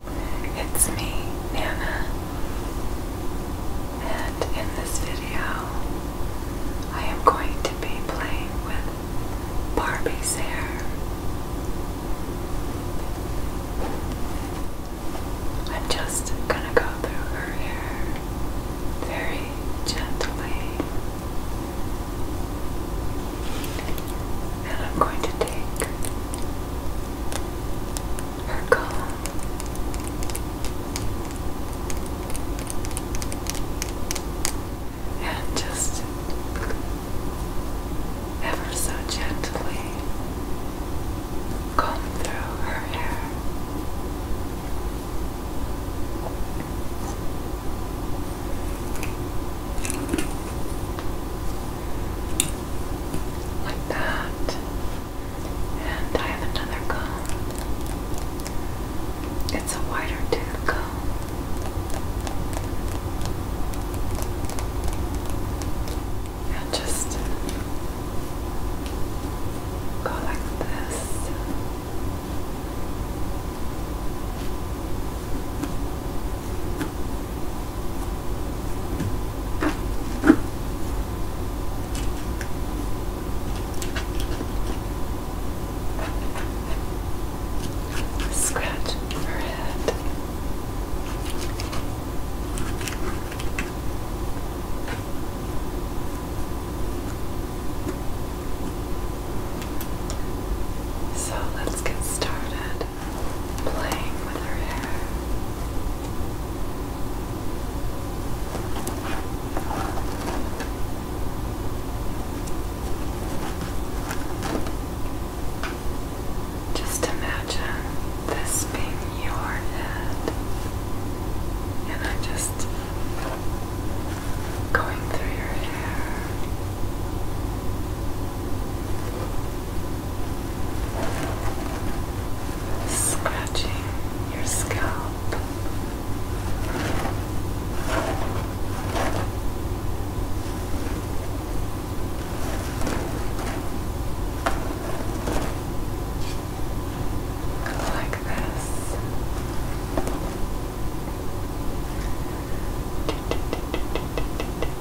It's me, Nana, and in this video I am going to be playing with Barbie's hair. I'm just gonna go through her hair very gently, and I'm going to take her calm. And just ever so gently comb through her hair like that. And I have another comb. It's a wider tooth comb. And just go like this. Scratch her head. So let's get started playing with her hair. Just imagine this being your head, and I'm just going through your hair scratching your scalp. Like this.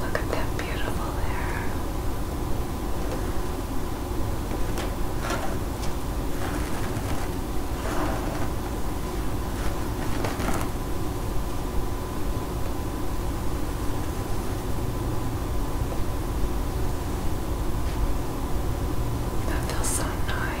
Look at that beautiful hair. That feels so nice.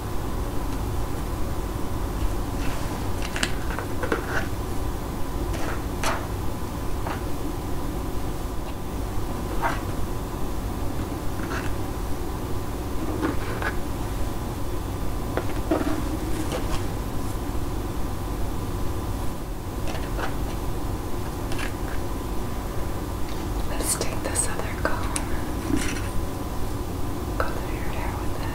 Let's take this other comb. Got the weird hair with that.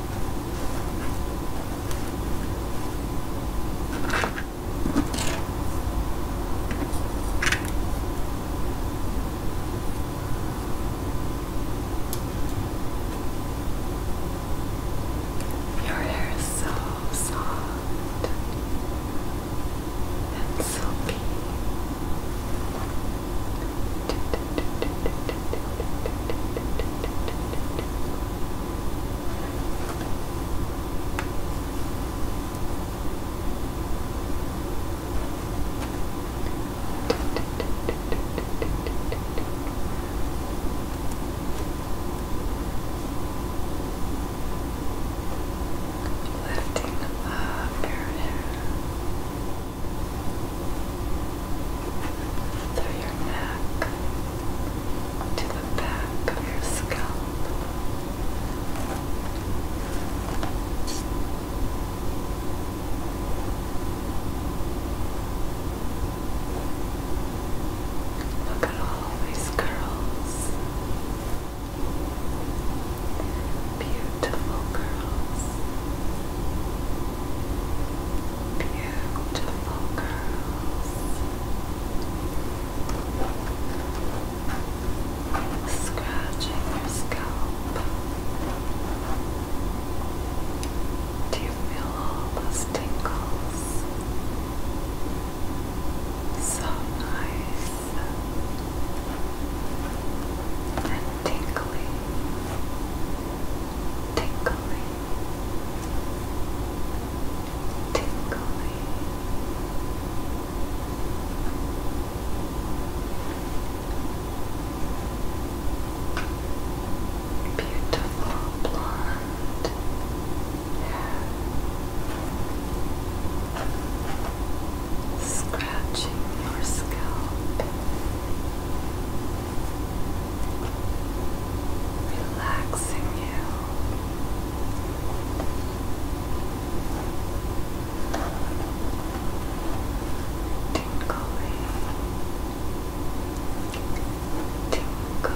Your hair is so soft and silky. Lifting up your hair through your neck to the back of your scalp. Look at all these curls. Beautiful curls. Beautiful girls. Scratching your scalp. Do you feel all those tingles? So nice and tingly, tingly, Tickly. Beautiful blonde hair scratching your scalp relaxing you. Tinkly, tinkly, tinkly, tinkly,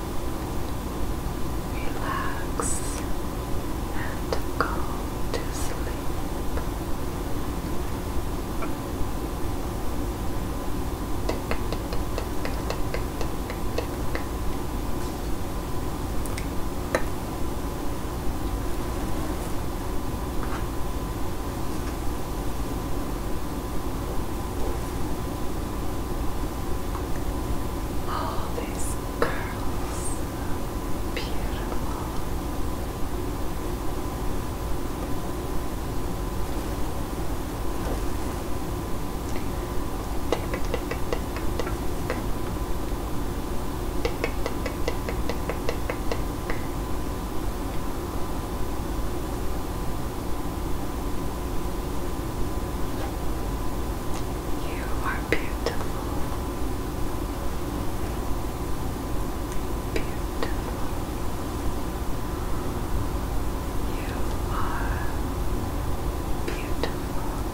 relax and go to sleep. All these curls, beautiful. You are beautiful. Beautiful. You are beautiful.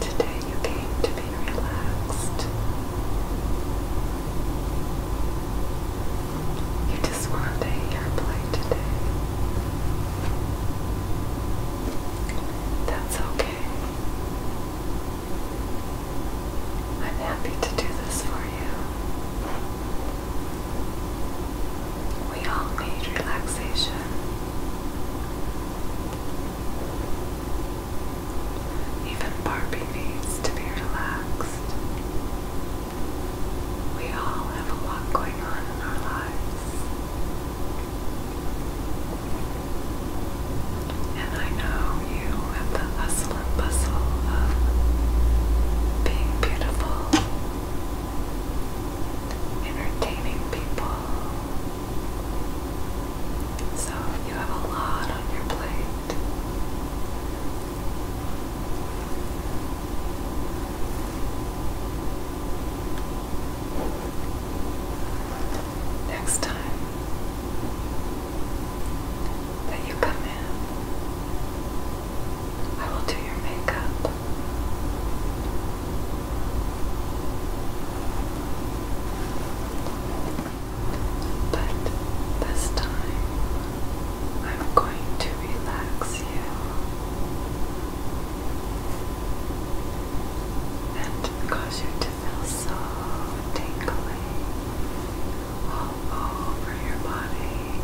Today you came to be relaxed. You just want play today. That's okay. I'm happy to do this for you. We all need relaxation. Even Barbie needs to be relaxed. We all have a lot going on in our lives. And I know you have the hustle excellent puzzle of being beautiful, entertaining people. So you have a lot on your plate. Next time, that you come in. I will do your makeup. But this time, I'm going to relax you and cause you to feel so tingly all over your body.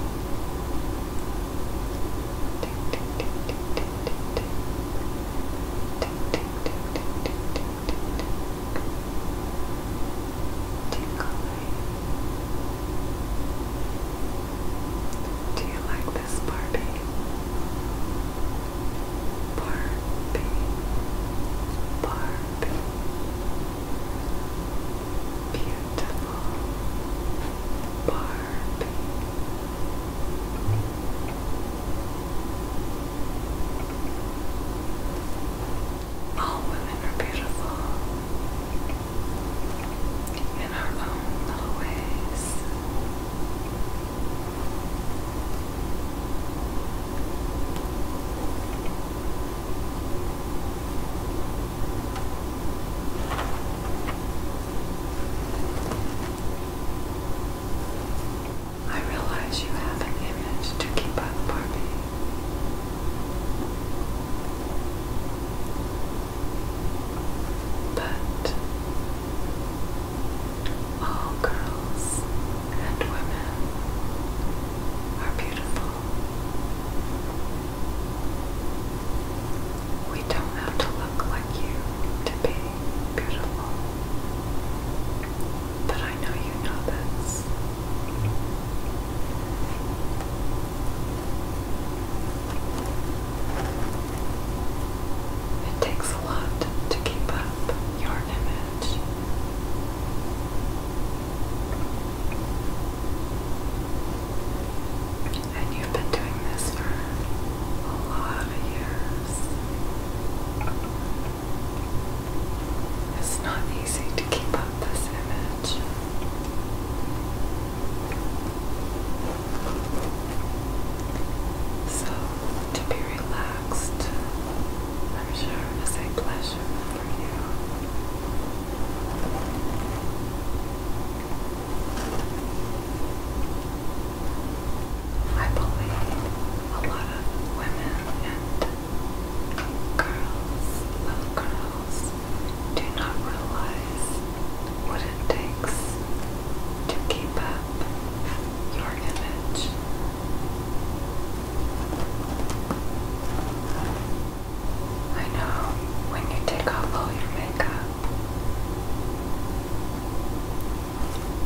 Tick, tick, tick, tick, tick, tick, tick. Tick, tick, tick, tick, tick, tick, tick, tick. Tickling. Do you like this Barbie. Barbie. Barbie. Beautiful Barbie. All women are beautiful in our own little ways. I realize you have an image to keep up, Barbie. But all girls and women are beautiful. We don't have to look like you to be beautiful. But I know you know this. It takes a lot to keep up your image. And you've been doing this for a lot of years. It's not easy to keep up this image. So, to be relaxed, I'm sure, is a pleasure for you. I believe a lot of women and girls, little girls, do not realize what it takes to keep up your image. I know when you take off all your makeup,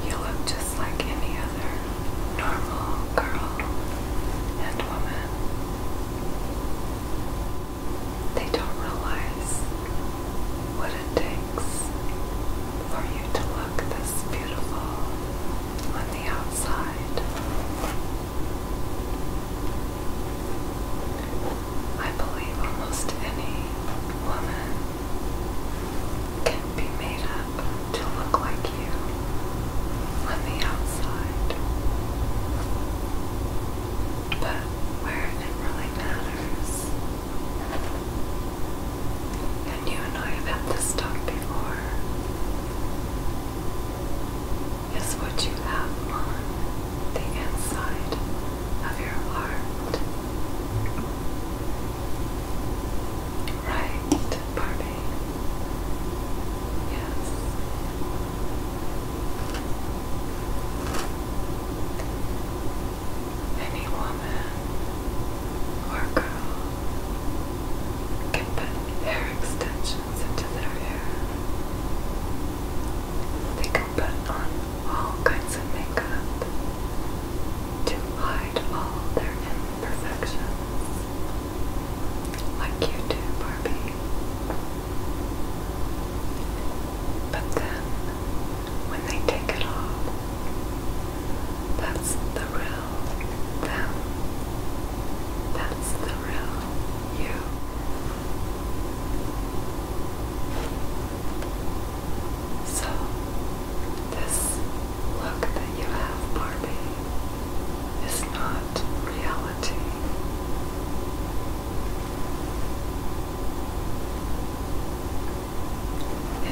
you look just like any other normal girl and woman. They don't realize what it takes for you to look this beautiful on the outside. I believe almost any woman can be made up to look like you on the outside. But where it really matters, and you and I have had this talk before, is what you have on the inside of your heart. Right, Barbie? Yes. Any woman or girl can put hair extensions extensions into their hair. They can put on all kinds of makeup to hide all their imperfections, like you do, Barbie. But then, when they take it off, that's the real them. That's the real you. So, this look that you have, Barbie, is not reality.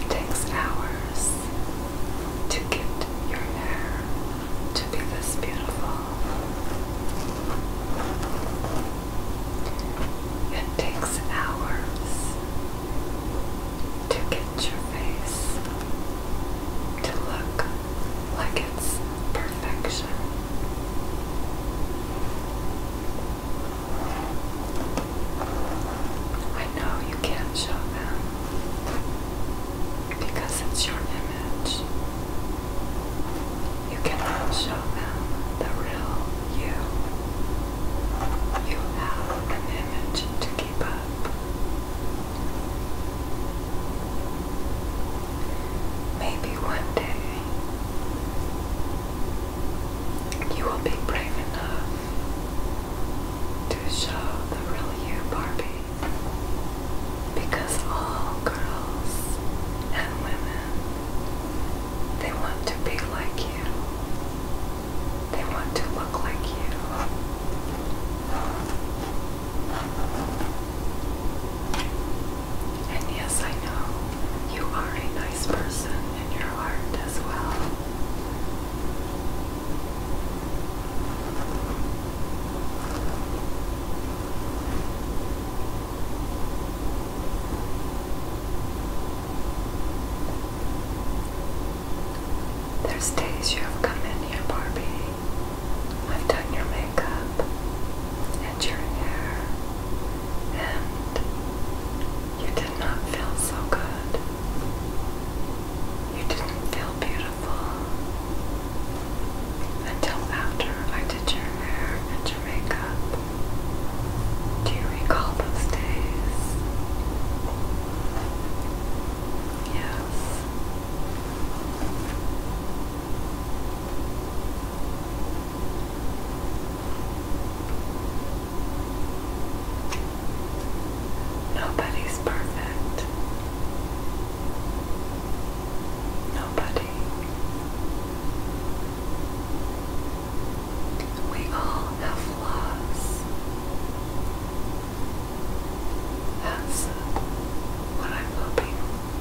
It takes hours to get your hair to be this beautiful. It takes hours to get your face to look like it's perfection. I know you can't show them, because it's your image. You cannot show them the real you. You have an image to keep up. Maybe one day you will be brave enough to show the real you, Barbie because all girls and women they want to be like you. They want to look like you. And yes, I know you are a nice person in your heart as well. There's days you have come in here, Barbie. I've done your makeup and your hair, and you did not feel so good. You didn't feel beautiful until after I did your hair and your makeup. Do you recall those days? Yes. Nobody's perfect. Nobody. We all have flaws. That's what I'm hoping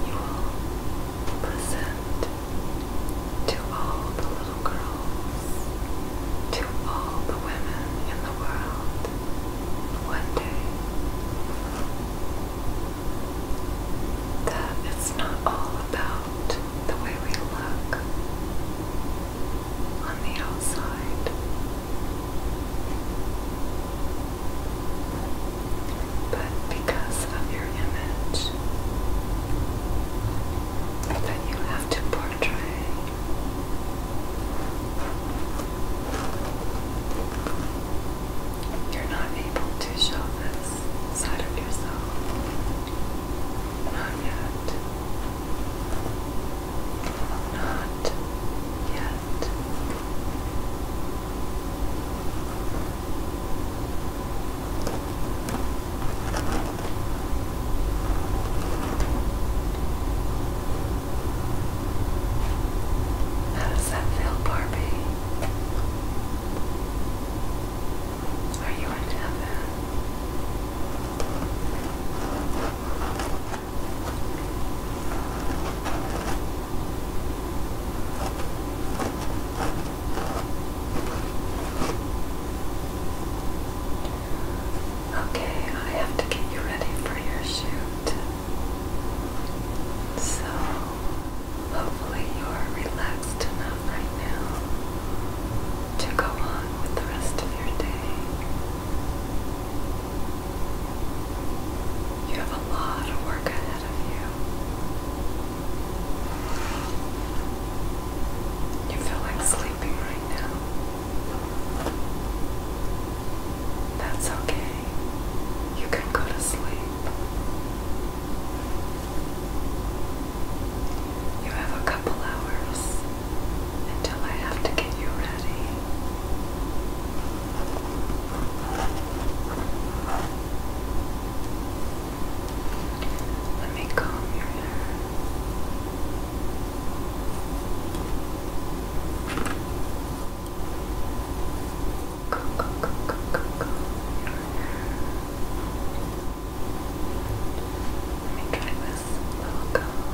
you will present to all the little girls, to all the women in the world one day that it's not all about the way we look on the outside, but because of your image that you have to portray. You're not able to show this side of yourself. Not yet. Not yet. How does that feel, Barbie? Are you in heaven? Okay, I have to get you ready for your shoot. So, hopefully, you are relaxed enough right now to go on with the rest of your day. You have a lot of work ahead of you. You feel like sleeping right now. That's okay. You can go to sleep. You have a couple hours until I have to get you ready. Let me comb your hair. Let me try this little comb.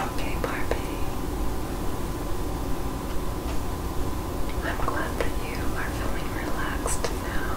Okay, Barbie. I'm glad that you are feeling relaxed now.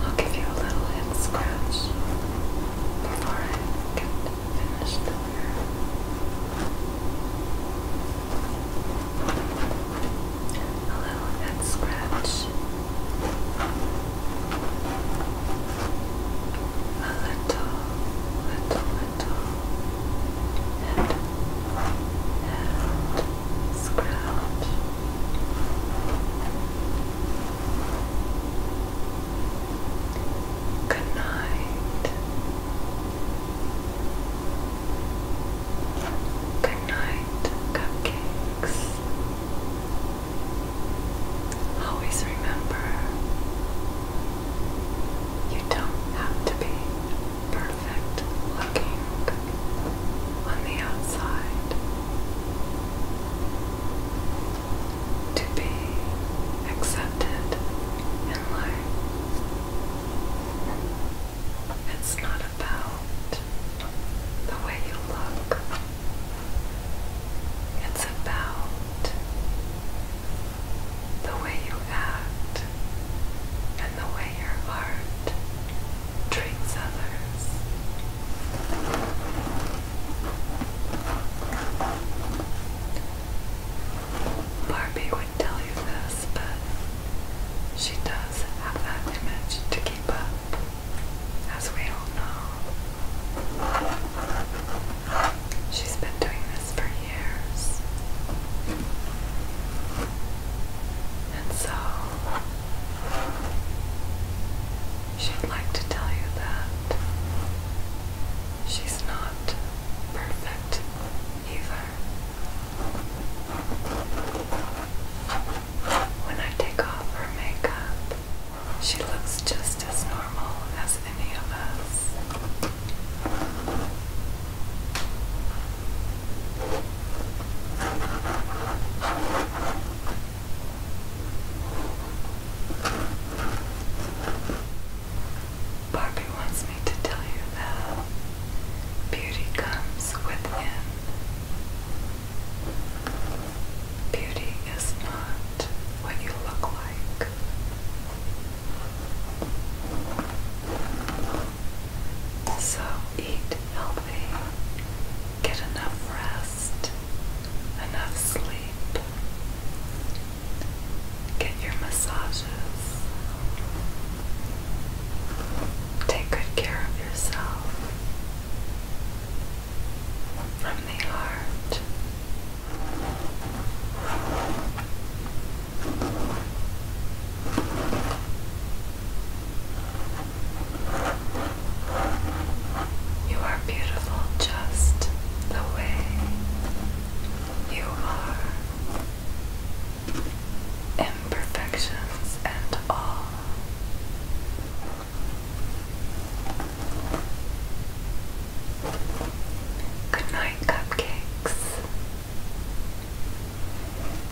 I'll give you a little head scratch before I can finish the hair. A little head scratch. A little, little, little head, head scratch. Good night. Good night, cupcakes. Always remember you don't have to be perfect looking on the outside. To be accepted in life. It's not about the way you look, it's about the way you act and the way your heart treats others. Barbie would tell you this, but she does have that image to keep up, as we all know. She's been doing this for years. And so She'd like to tell you that she's not perfect either. When I take off her makeup, she looks just as normal as any of us. Barbie wants me to tell you that beauty comes within. Beauty is not what you look like. So eat healthy, get enough rest, enough sleep, get your massages, take good care of yourself from the heart. You are beautiful just the way you are. Imperfections and all. Good night, cupcakes.